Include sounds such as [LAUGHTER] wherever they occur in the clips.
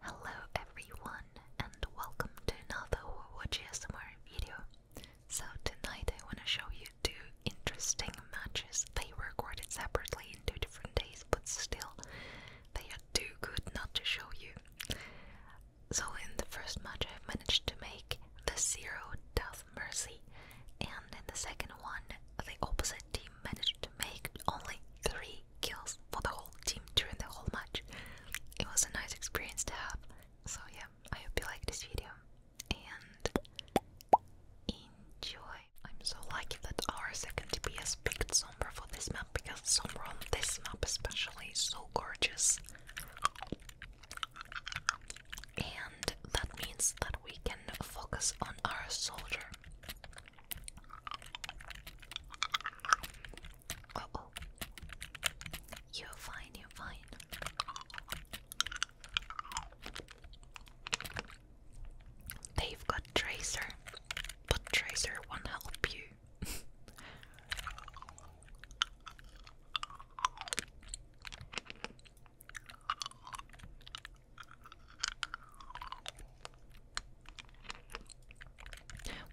Hello everyone and welcome to another Watch ASMR video. So tonight I wanna show you two interesting matches. They were recorded separately in two different days, but still they are too good not to show you. So in the first match i managed to make the zero Death Mercy and in the second one the opposite team managed to make only three kills for the whole team during the whole match. It was a nice experience to have. So yeah, I hope you like this video and enjoy. I'm so lucky that our second DPS picked Sombra for this map because Sombra on this map especially is so gorgeous. And that means that we can focus on our soldier. Oh, oh. You're fine, you're fine. They've got Tracer, but Tracer won't help you. [LAUGHS]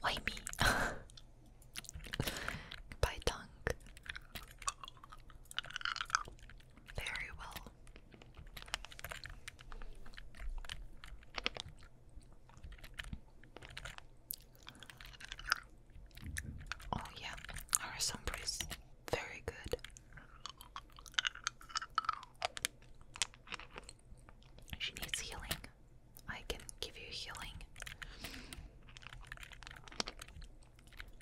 White meat, [LAUGHS] Goodbye, tongue. Very well. Oh yeah, our sombra very good. She needs healing. I can give you healing.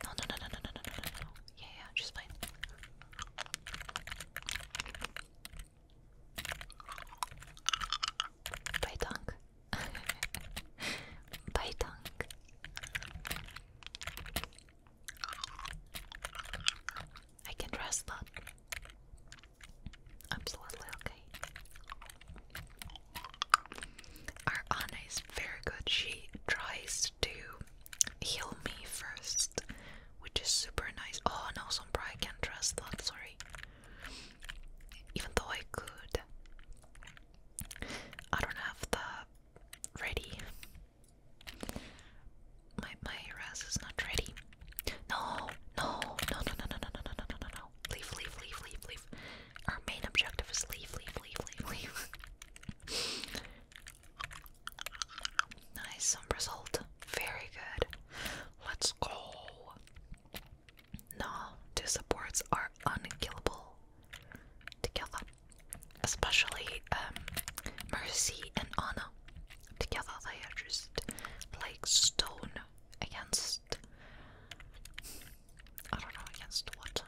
No, no, no, no, no, no, no, no, no. Yeah, yeah, she's fine. Bye, tongue. [LAUGHS] Bye, tongue. I can trust that. Absolutely okay. Our Anna is very good. She tries to heal me first, which is super nice. Oh no, Sombra, I can't trust that, sorry. Even though I could. I don't have the ready my my res is not ready. No, no, no, no, no, no, no, no, no, no, no, no. Leave, leave, leave, leave, leave. Our main objective is leave, leave, leave, leave, leave. nice, some result. Very good. Let's go. No, two supports are unkillable together especially um, Mercy and Anna. Together they are just like stone against I don't know, against what?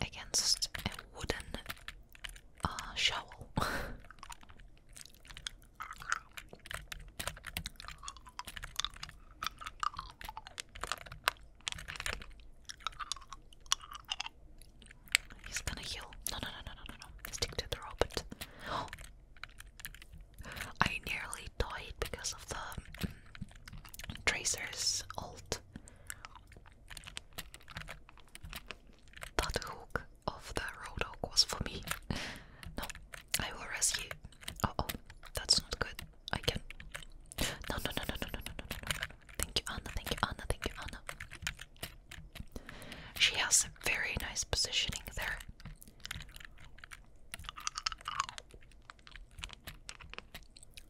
Against a wooden uh, shovel. He's gonna heal. No, no, no, no, no, no, Stick to the robot. Oh. [GASPS] I nearly died because of the um, Tracer's Alt. That hook of the rope was for me. [LAUGHS] No, I will rescue. oh, that's not good. I can no, no, no, no, no, no, no, no, no. Thank you, Anna. Thank you, Anna. Thank you, Anna. She has a very nice positioning there.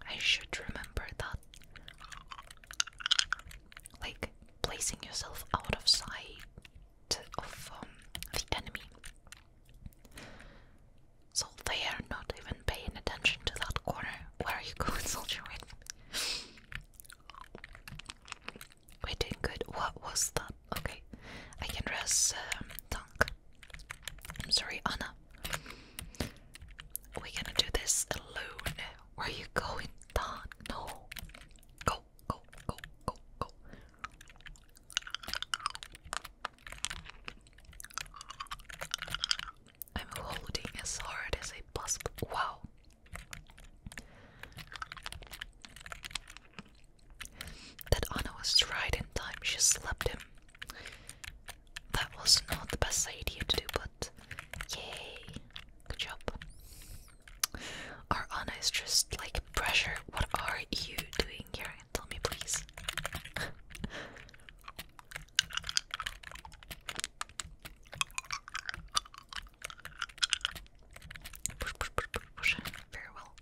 I should remember that. Like placing yourself out of sight of um, the enemy. So they are not even paying attention to that corner. Where are you going, [LAUGHS] soldier? Wait. We're doing good. What was that? Okay. I can dress, um, tank. I'm sorry, Anna. We're gonna do this alone. Where are you going, Don? No. Go, go, go, go, go. I'm holding as hard as I possibly. Wow. That Anna was right in time. She slapped him. That was not the best idea to do, but yay. Good job. Our Anna is just like pressure. What are you doing here? Tell me, please. push, push, push, push, Very well.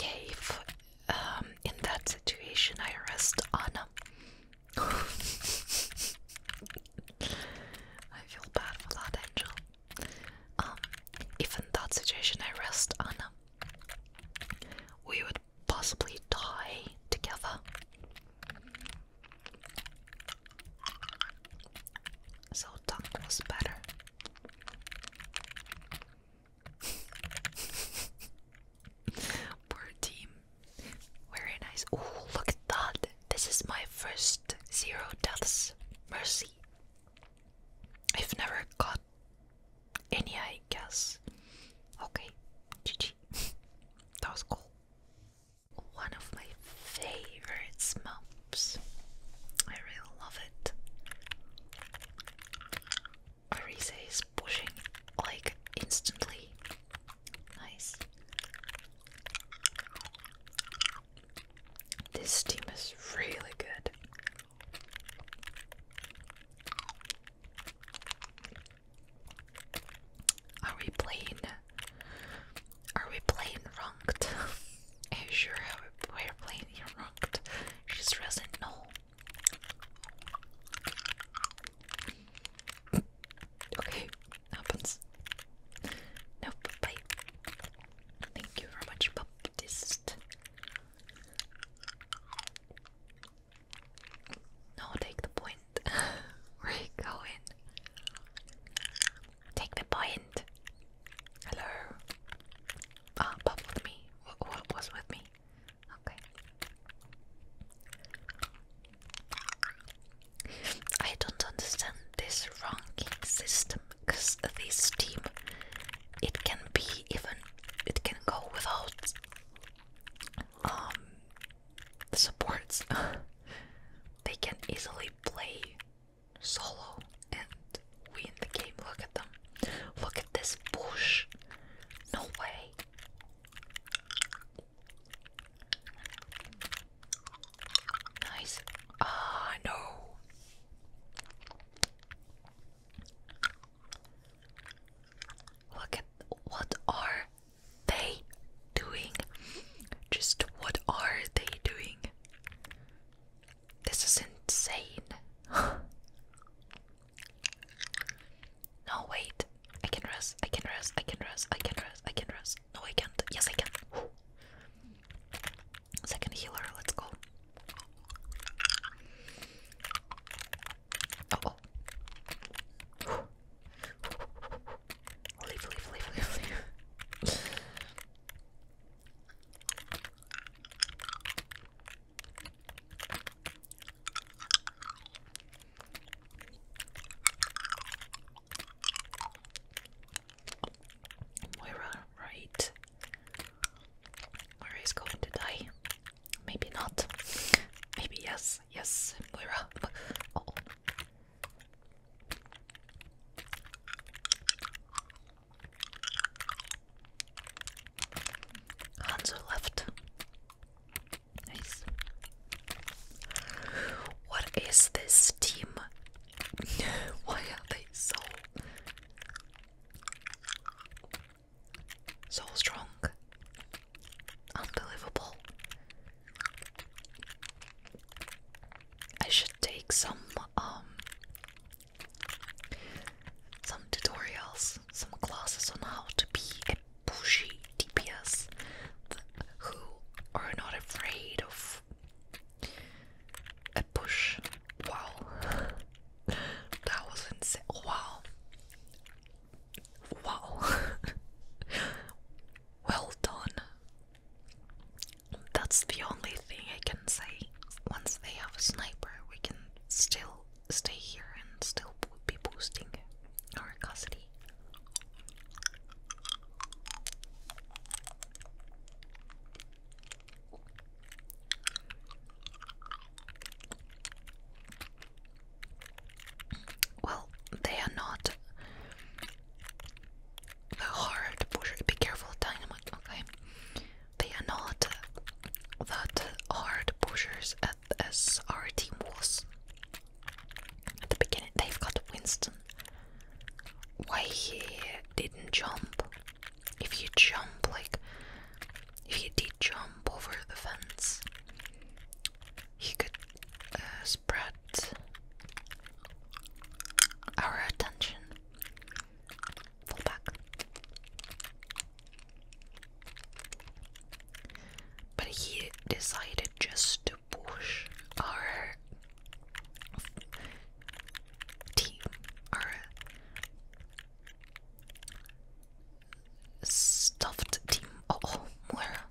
Yeah, if um, in that situation I arrest Anna, [LAUGHS] I feel bad for that angel. Um, if in that situation I rest Anna, we would possibly die together. So that was better. [LAUGHS] Poor team. Very nice. Oh, look at that. This is my first zero deaths. Mercy. I've never got any, I guess. Okay, GG. [LAUGHS] that was cool. One of my favorite maps. I really love it. Arise is pushing like instantly. Nice. This team is really good. Are we playing? Are we playing ranked? [LAUGHS] Are you sure we're playing ranked? She doesn't know. Okay, happens. Nope, bye. Thank you very much, Baptist. No, take the point. [LAUGHS] Where you going? Take the point. Hello. Ah, Bob with me. what was with me? Okay. I don't understand this ranking system because this team it can be even it can go without um supports. [LAUGHS] they can easily play solo and win the game. Look at them. Look at this bush. No way. Nice. Ah, no. Look at what are they doing? Just what are they doing? This is insane. [LAUGHS] No, wait. I can rest. I can rest. I can rest. I can rest. I can rest. No, I can't. Yes, I can. Second healer. Let's go. Oh, oh. Moira, right? Moira is going to die. Maybe not. Maybe yes. Yes, Moira. [LAUGHS] Oh. Hanzo left. What is this team? [LAUGHS] Why are they so so strong? Unbelievable. I should take some um some tutorials, some classes on how to be a pushy DPS who are not afraid of a push. Wow, that was insane. Wow, wow, [LAUGHS] well done. That's the only thing I can say. Once they have a sniper, we can still stay here and still be boosting our custody. Well, they are not the hard pusher. Be careful, dynamite. Okay, they are not the hard pushers as our team was at the beginning. They've got Winston. Why he didn't jump? If you jump, like, if you did jump over the fence, he could uh, spread our attention. Fold But he decided just to push our team, our stuffed team. Oh, oh, Moira.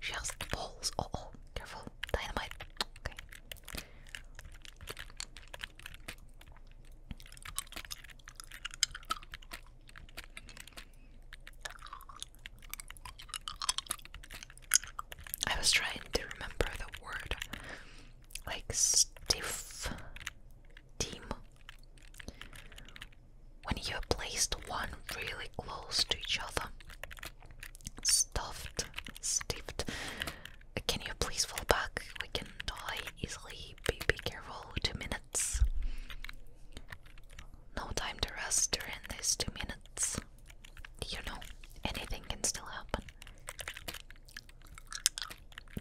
she has balls. Oh, oh, careful. Dynamite. Okay. I was trying to remember the word like stiff team. When you placed one really close to each other, stuffed, stiffed, can you please fall back? We can die easily. Be, be careful. Two minutes. No time to rest during these two minutes. You know, anything can still happen.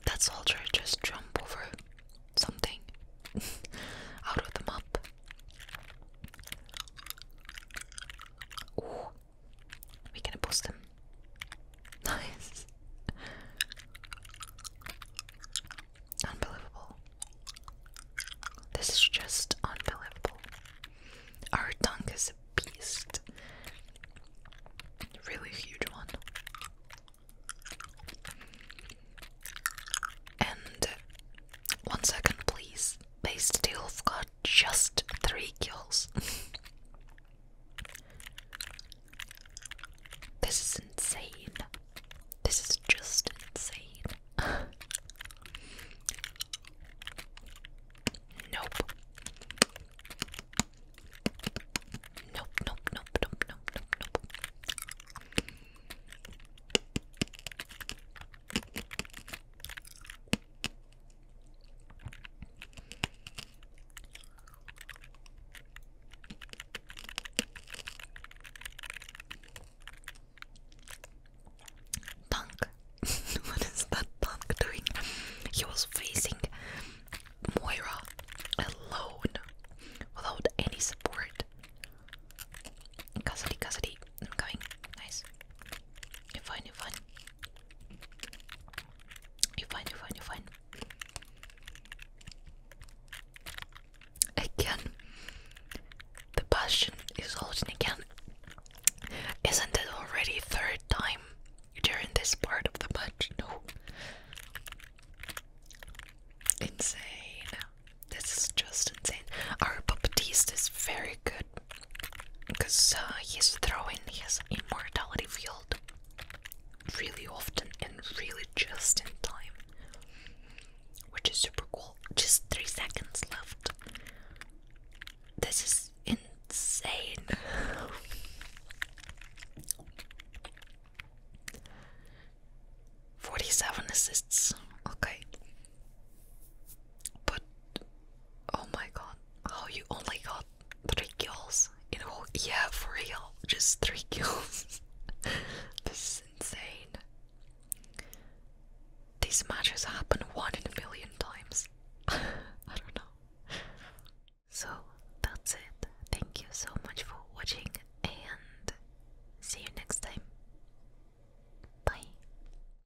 That soldier just jumped over something [LAUGHS] out of the map. Ooh, we gonna boost them. [LAUGHS] Nice. Unbelievable. This is just unbelievable. Our dunk is a beast. Really huge one. And one second, please. They still got just three kills. [LAUGHS] This is insane. This is just insane. [LAUGHS] nope. Nope, nope, nope, nope, nope, Punk. [LAUGHS] what is that punk doing? He was facing Moira alone without any support. Cassidy, Cassidy, i Nice. You're fine, you're fine. You're you're you're Again, the passion is holding again. Isn't it already third time during this part of the match? No. Insane. This is just insane. Our Baptiste is very good because he's uh, throwing his immortality field really often and really just in time, which is super cool. Just three seconds left. This is insane. Forty-seven assists. Okay, but Oh my god, oh, you only got three kills in a whole yeah for real, just three [LAUGHS] kills. this is insane. These matches happen one in a million times. [LAUGHS] I don't know. So that's it. Thank you so much for watching and see you next time. Bye.